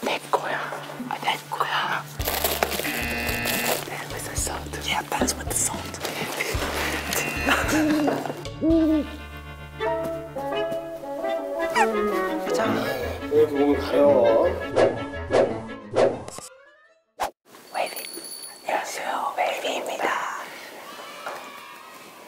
내 거야. 아, 내 거야. There is a sound. Yeah, that's what the sound. 자. 이렇게 몸을 가려. 웨이비. 안녕하세요. 웨이비입니다.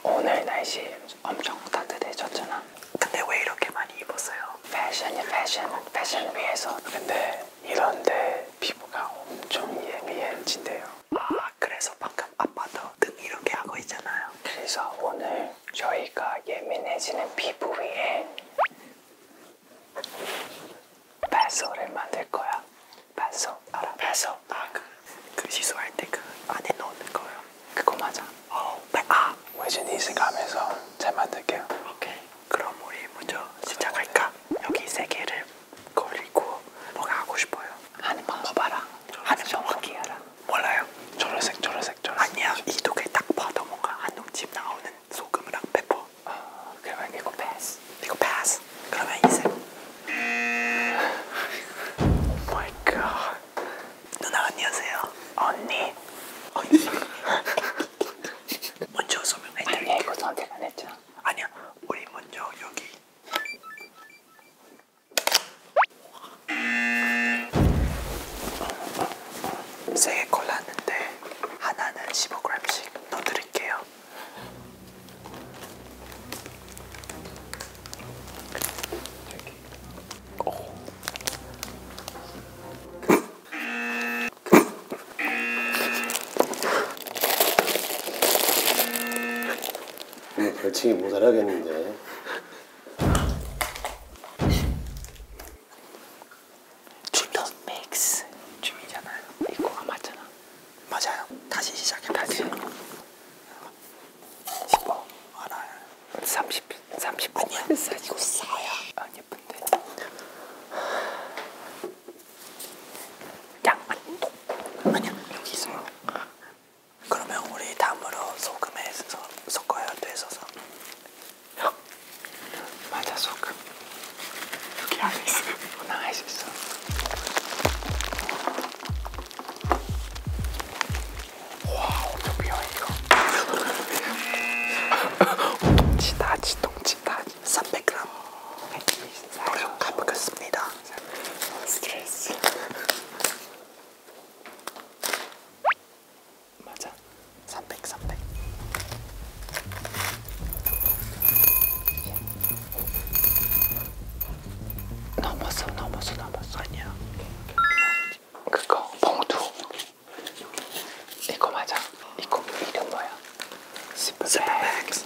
오늘 날씨 엄청 따뜻해졌잖아. 근데 왜 이렇게 많이 입었어요? 패션이 패션, 패션 위에서 근데 이런데 피부가 엄청 예민해진대요 아 그래서 방금 아빠도 등 이렇게 하고 있잖아요 그래서 오늘 저희가 예민해지는 피부 위에 뱃소를 만들 거야 뱃소 알아? 뱃소 아그 그, 그 시소할 때 그 안에 넣는 거요 그거 맞아. 어, 아, 외진이 생각하면서 잘 만들게요. 오케이. 그럼 우리 먼저 시작할까? 여기 세 개를 걸리고 뭐가 하고 싶어요? 하는 방법 알아? 하는 방법 알아? 몰라요? 초록색, 초록색, 초록색. 아니야, 이두개딱 봐도 뭔가 한동집 나오는 소금이랑 페퍼. 아, 그러면 이거 패스. 이거 패스. 그러면 이색. Oh my god. 누나 안녕하세요. 언니. 언니. 먼저 소명해드릴게요. 아니야 이거 선택 안 했죠. 아니야 우리 먼저 여기. 세 개 골랐는데 하나는 15g씩 넣어드릴게요. 이렇게. 네, 별칭이 모자라겠는데 줄도 맥스 춤이잖아요 이거 안 맞잖아 맞아요 다시 시작해 다시 10원 하나에 30, 30원 아니야 이거 싸야 안 예쁜데 양만도 아니야 여기 있어요 그러면 우리 다음으로 소금에 섞어야 돼서서 맞아 소금 여기 안에 있어 나갈 수 있어 와 엄청 비어 이거 동치다지 동치다지 300g 노력해보겠습니다 스트레스 맞아 300 300 넘었어 넘었어 넘었어 아니야 그거 봉투 이거 맞아? 이거 이름 뭐야? 스퍼백스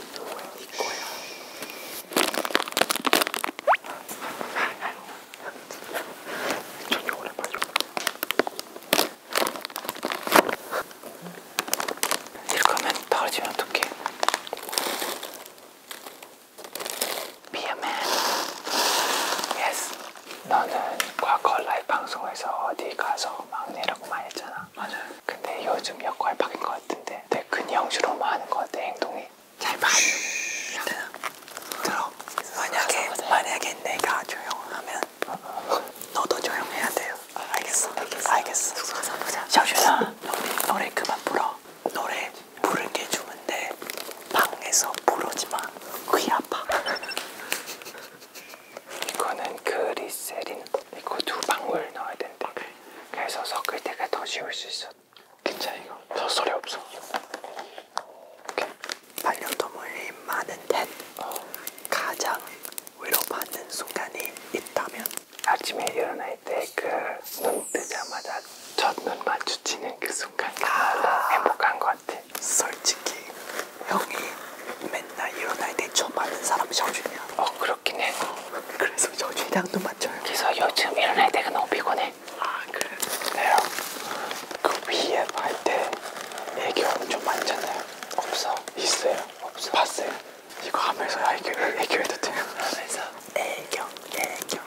이거야 저기 오래 봐줘 이렇게 하면 떨어지면 어떡해 Be a man. Yes. 너는 과거 라이브 방송에서 어디 가서 막내라고 많이 했잖아. 맞아요. 근데 요즘 역할 바뀐 것 같은데 내 근형주로만 뭐 하는 것 같아, 행동이. 잘 봐. 일단 들어. 만약에, 만약에 내가 조용하면 너도 조용해야 돼요. 알겠어. 알겠어. 알겠어. 숙소 가서 보자. 샤오슈나, 노래, 노래 그만 불어. 노래 있거든요. 부른 게 좋은데 방에서 부르지 마. 귀 아파. 이거는 그리세린. 이거 두 방울 넣어야 된대. 그래서 섞을 때가 더 쉬울 수 있어. 괜찮아 이거. 덧소리 없어. 오케이. 반려동물이 많은 듯 어. 가장 위로받는 순간이 있다면 아침에 일어날 때그눈 뜨자마자 첫눈 마주치는 그 순간 아 행복한 것 같아. 솔직히 형이 맨날 이런 나이 대 처음 맞는 사람이 저준이야. 어 그렇긴 해. 어, 그래서 저준이랑도 맞춰요. 그래서 요즘 이런 나이 대가 너무 피곤해. 아 그래. 내가 그 위에 할때 애교 엄청 많잖아요. 없어. 있어요. 없어. 봤어요. 이거 하면서 애교 애교해도 돼요. 하면서 애교 애교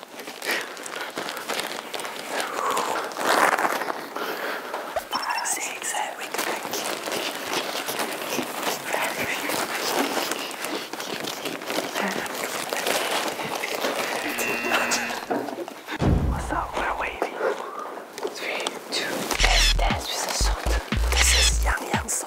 Five, six, seven, eight, What's up? we waiting. Three, This is Yang Yang's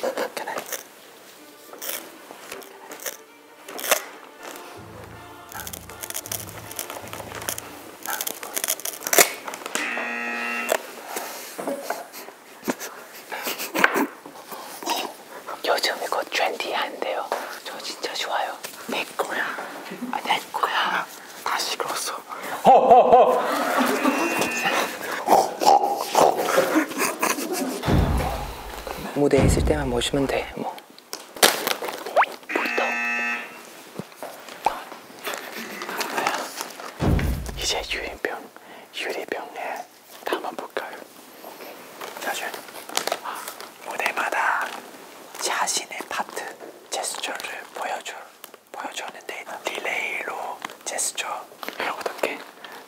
Can I? 요즘 이거 트렌디한데요. 저 진짜 좋아요. 내 거야. 아, 내 거야. 다시 걸었어. 허허허. 무대에 있을 때만 모시면 돼. 뭐. 이제 유인병, 유리병에 담아볼까요? 사실 무대마다 자신의 파트, 제스처를 보여줄 보여주었는데 딜레이로 제스처 이러고 어떻게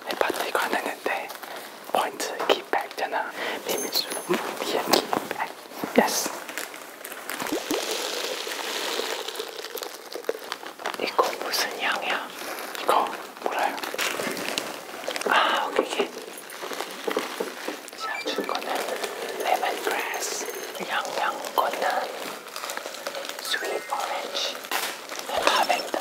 내 파트 가능했는데 포인트 키백 잖아 비밀수 뒤에 키백 예스 이거 무슨 향이야? 이거 몰라요 아 오케이 제가 준 거는 레몬그래스 양양 거는 스윗 오렌지 라벤더예요 라벤더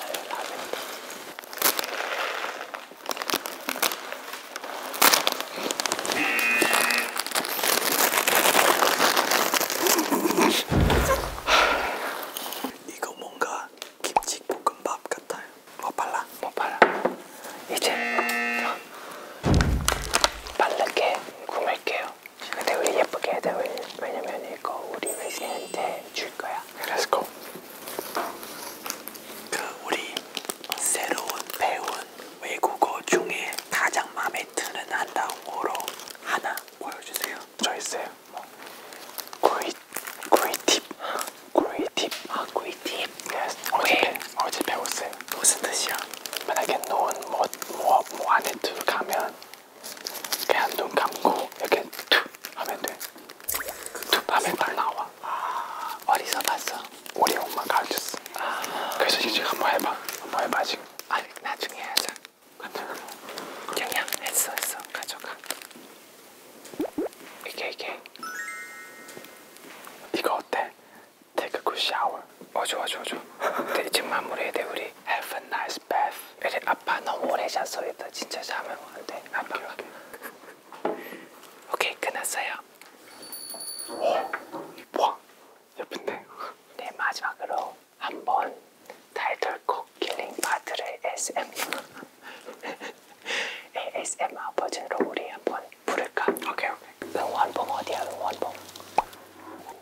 이거 뭔가 김치볶음밥 같아요 뭐 발라? 뭐 발라? 이제 빠르게 구매할게요 근데 그 우리 예쁘게 해야 돼. 왜냐면 이거 우리 외진한테 줄 거야. Let's go. 그 우리 새로운 배운 외국어 중에 가장 마음에 드는 한 단어로 하나 보여주세요. 저 있어요. 뭐. 구이 구이 팁. 구이 팁. 아 구이 팁. Yes. 어제 배, 어제 배웠어요. 무슨 뜻이야? 만약에 논뭐뭐뭐 뭐, 뭐 안에 들어가면 그냥 눈 감고 이렇게 툭 하면 돼. 툭 하면 딱 나와. 아, 어디서 봤어? 우리 엄마 가르쳤어. 아, 그래서 지금 한번 해봐. 한번 해봐 지금. 아니 나중에 하자. 가져가. 영양 했어 했어. 가져가. 이게 이게. 이거 어때? 테크 굿 샤워. 어줘 어줘 어줘. 이제 마무리해야 돼 우리. 오케이. Have a nice bath. 그래 아빠 너무 오래 자서 일단 진짜 잠을 못 돼. 아빠가. 오케이 끝났어요. 와 예쁜데? 네 마지막으로 한번 타이틀곡 킬링 파트를 ASMR ASMR 버전으로 우리 한번 부를까? 오케이 오케이. 응원봉 어디야 응원봉?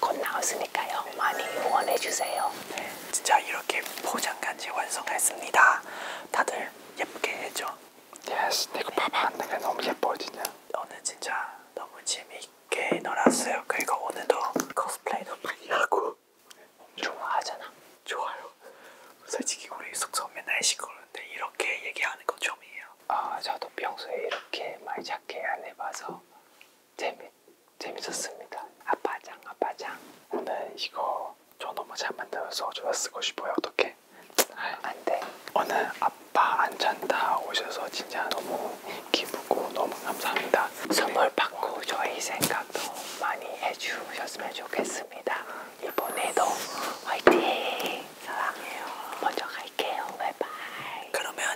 곧 나왔으니까요. 많이 응원해 주세요. 네, 진짜 이렇게 포장까지 완성했습니다. 다들 예쁘게 해줘. Yes, 내가 봐봐. 내가 네. 너무 예뻐 진짜. 오늘 진짜 너무 재미있게 놀았어요. 그리고 오늘도 코스프레도 많이 하고 좋아하잖아. 좋아요. 솔직히 우리 숙소 맨날 시끄러운데 이렇게 얘기하는 거 처음이에요. 아, 저도 평소에 이렇게 말 작게 안 해봐서 재밌. 재밌었습니다. 아빠장 아빠장. 오늘 이거 저 너무 잘 만들어서 저가 쓰고 싶어요. 어떻게? 아, 안돼. 오늘 아빠 안 찬다 오셔서 진짜 너무 기쁘고 너무 감사합니다. 선물 받고 저희 생각도 많이 해주셨으면 좋겠습니다. 이번에도 화이팅! 사랑해요. 먼저 갈게요. 바이바이. 그러면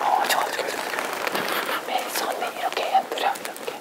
어, 저거 저거 저거. 맨 손에 이렇게 흔들어 이렇게.